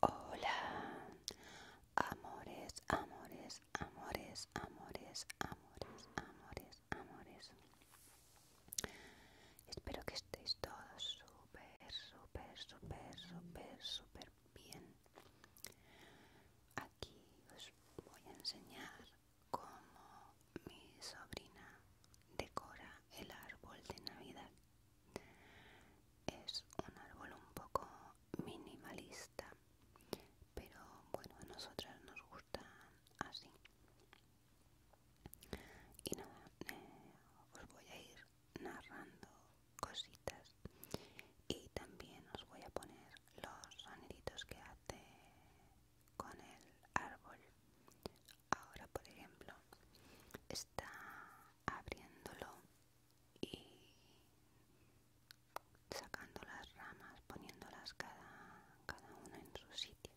¡Hola! Hola, amores, amores, amores, amores, amores, amores, amores... Espero que estéis todos súper, súper, súper, súper, súper bien. Aquí os voy a enseñar cómo mi sobrina decora el árbol de Navidad. Es un árbol un poco minimalista, pero bueno, a nosotras nos gusta así y eh, os voy a ir narrando cositas y también os voy a poner los soniditos que hace con el árbol ahora por ejemplo está abriéndolo y sacando las ramas poniéndolas cada una en su sitio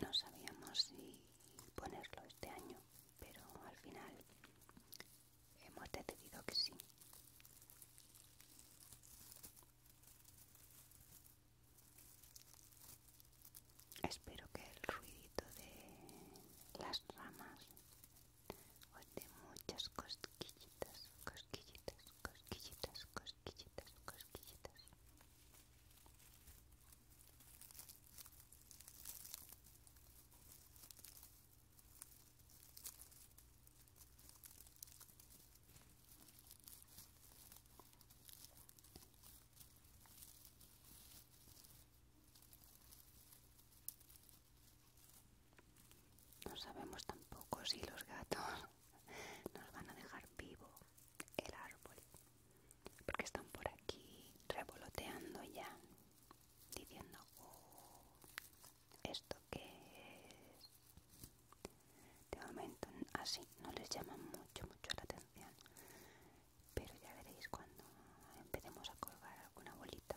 No sabíamos si ponerlo este año, pero al final hemos decidido que sí. Espero que el ruidito de las ramas o de muchas cosquillitas, cosquillitas, cosquillitas, cosquillitas cosquillitas, No sabemos tampoco si los gatos nos van a dejar vivo el árbol porque están por aquí revoloteando ya diciendo oh, esto que es de momento así no les llama mucho mucho la atención pero ya veréis cuando empecemos a colgar alguna bolita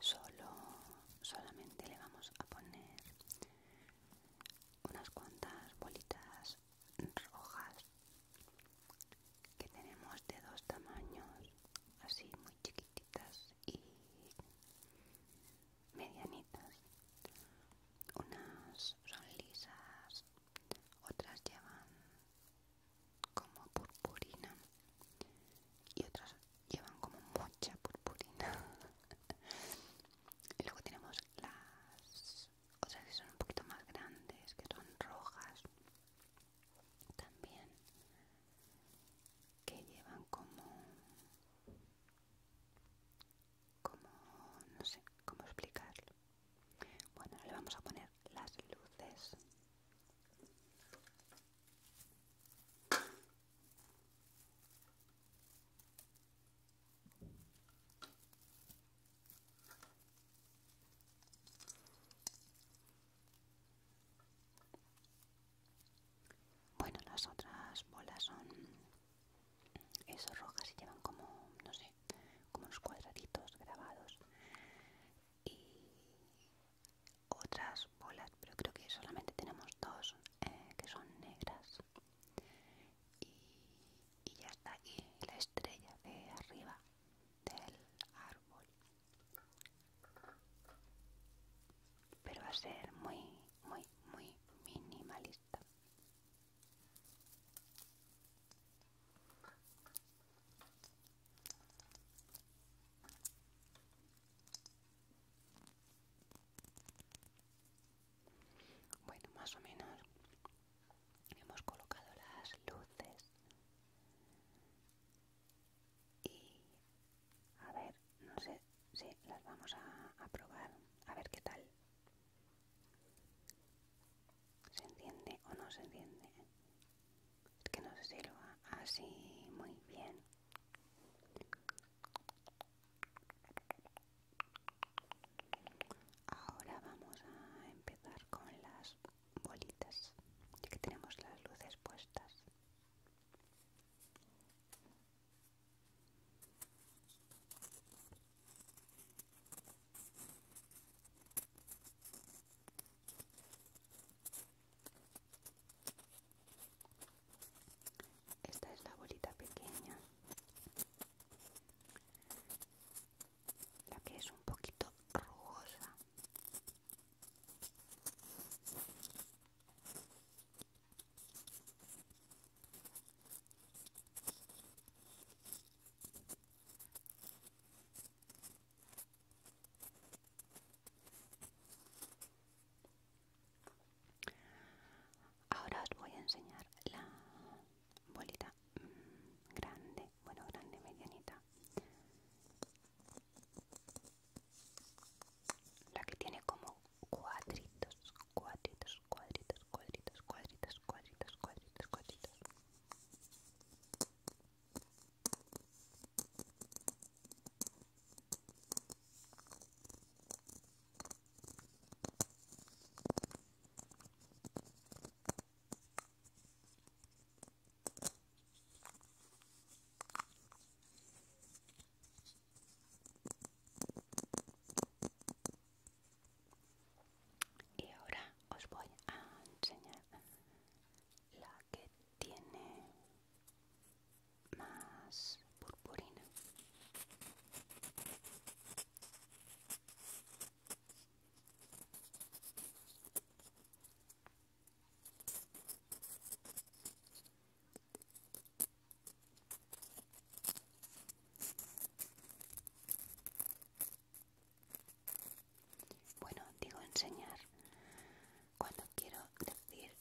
Solo, solamente le vamos a poner unas cuantas bolitas rojas que tenemos de dos tamaños, así muy chiquititas y medianitas. Unas son lisas, otras llevan como purpurina y otras llevan como mucha purpurina y luego tenemos las otras que son un poquito más grandes que son rojas también que llevan como como no sé cómo explicarlo bueno, le vamos a poner las luces. Bueno, las otras bolas son... Esas rojas y llevan como, no sé, como unos cuadraditos grabados y otras bolas, pero creo que solamente tenemos dos eh, que son negras y, ya está y la estrella de arriba del árbol pero va a ser muy muy muy minimalista bueno, más o menos hemos colocado las luces y a ver, no sé si las vamos a, probar, a ver qué tal ¿Se entiende o no se entiende? Es que no se sirva así muy bien. Ahora vamos a empezar con las bolitas, ya que tenemos las luces puestas. Esta es la bolita pequeña, la que es un poquito rugosa. Ahora os voy a enseñar la bolita mm, grande, bueno, grande, medianita. La que tiene como cuadritos, cuadritos, cuadritos, cuadritos, cuadritos, cuadritos, cuadritos, cuadritos y ahora os voy a enseñar la que tiene más purpurina bueno, digo enseñar cuando quiero decir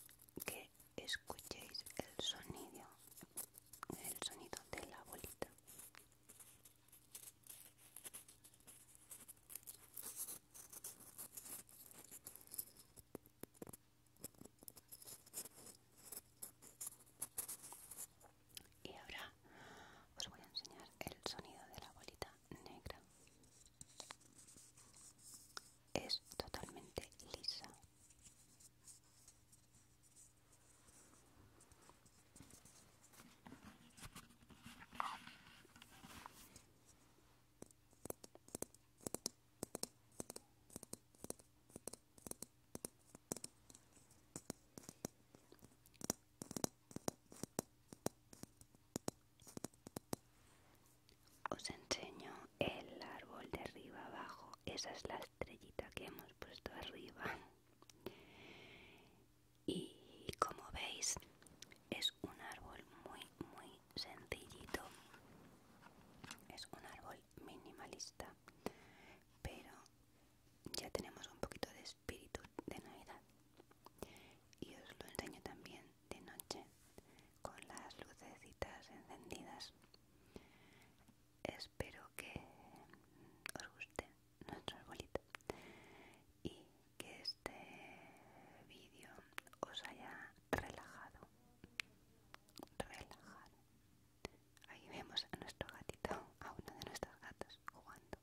que escuchéis el sonido, el sonido de la bolita y ahora os voy a enseñar el sonido de la bolita negra es totalmente lisa os enseño el árbol de arriba abajo. Esa es la estrellita que hemos puesto arriba. Y como veis, es un árbol muy, muy sencillito. Es un árbol minimalista. Pero ya tenemos un poquito de espíritu de Navidad. Y os lo enseño también de noche con las lucecitas encendidas. Espero que os guste nuestro arbolito y que este vídeo os haya relajado. Relajado. Ahí vemos a nuestro gatito, a una de nuestras gatos jugando.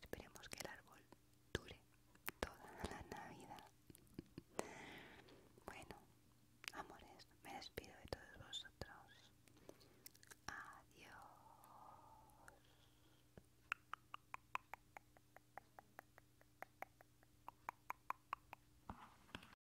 Esperemos que el árbol dure toda la Navidad. Bueno, amores, me despido de todos vosotros. Adiós.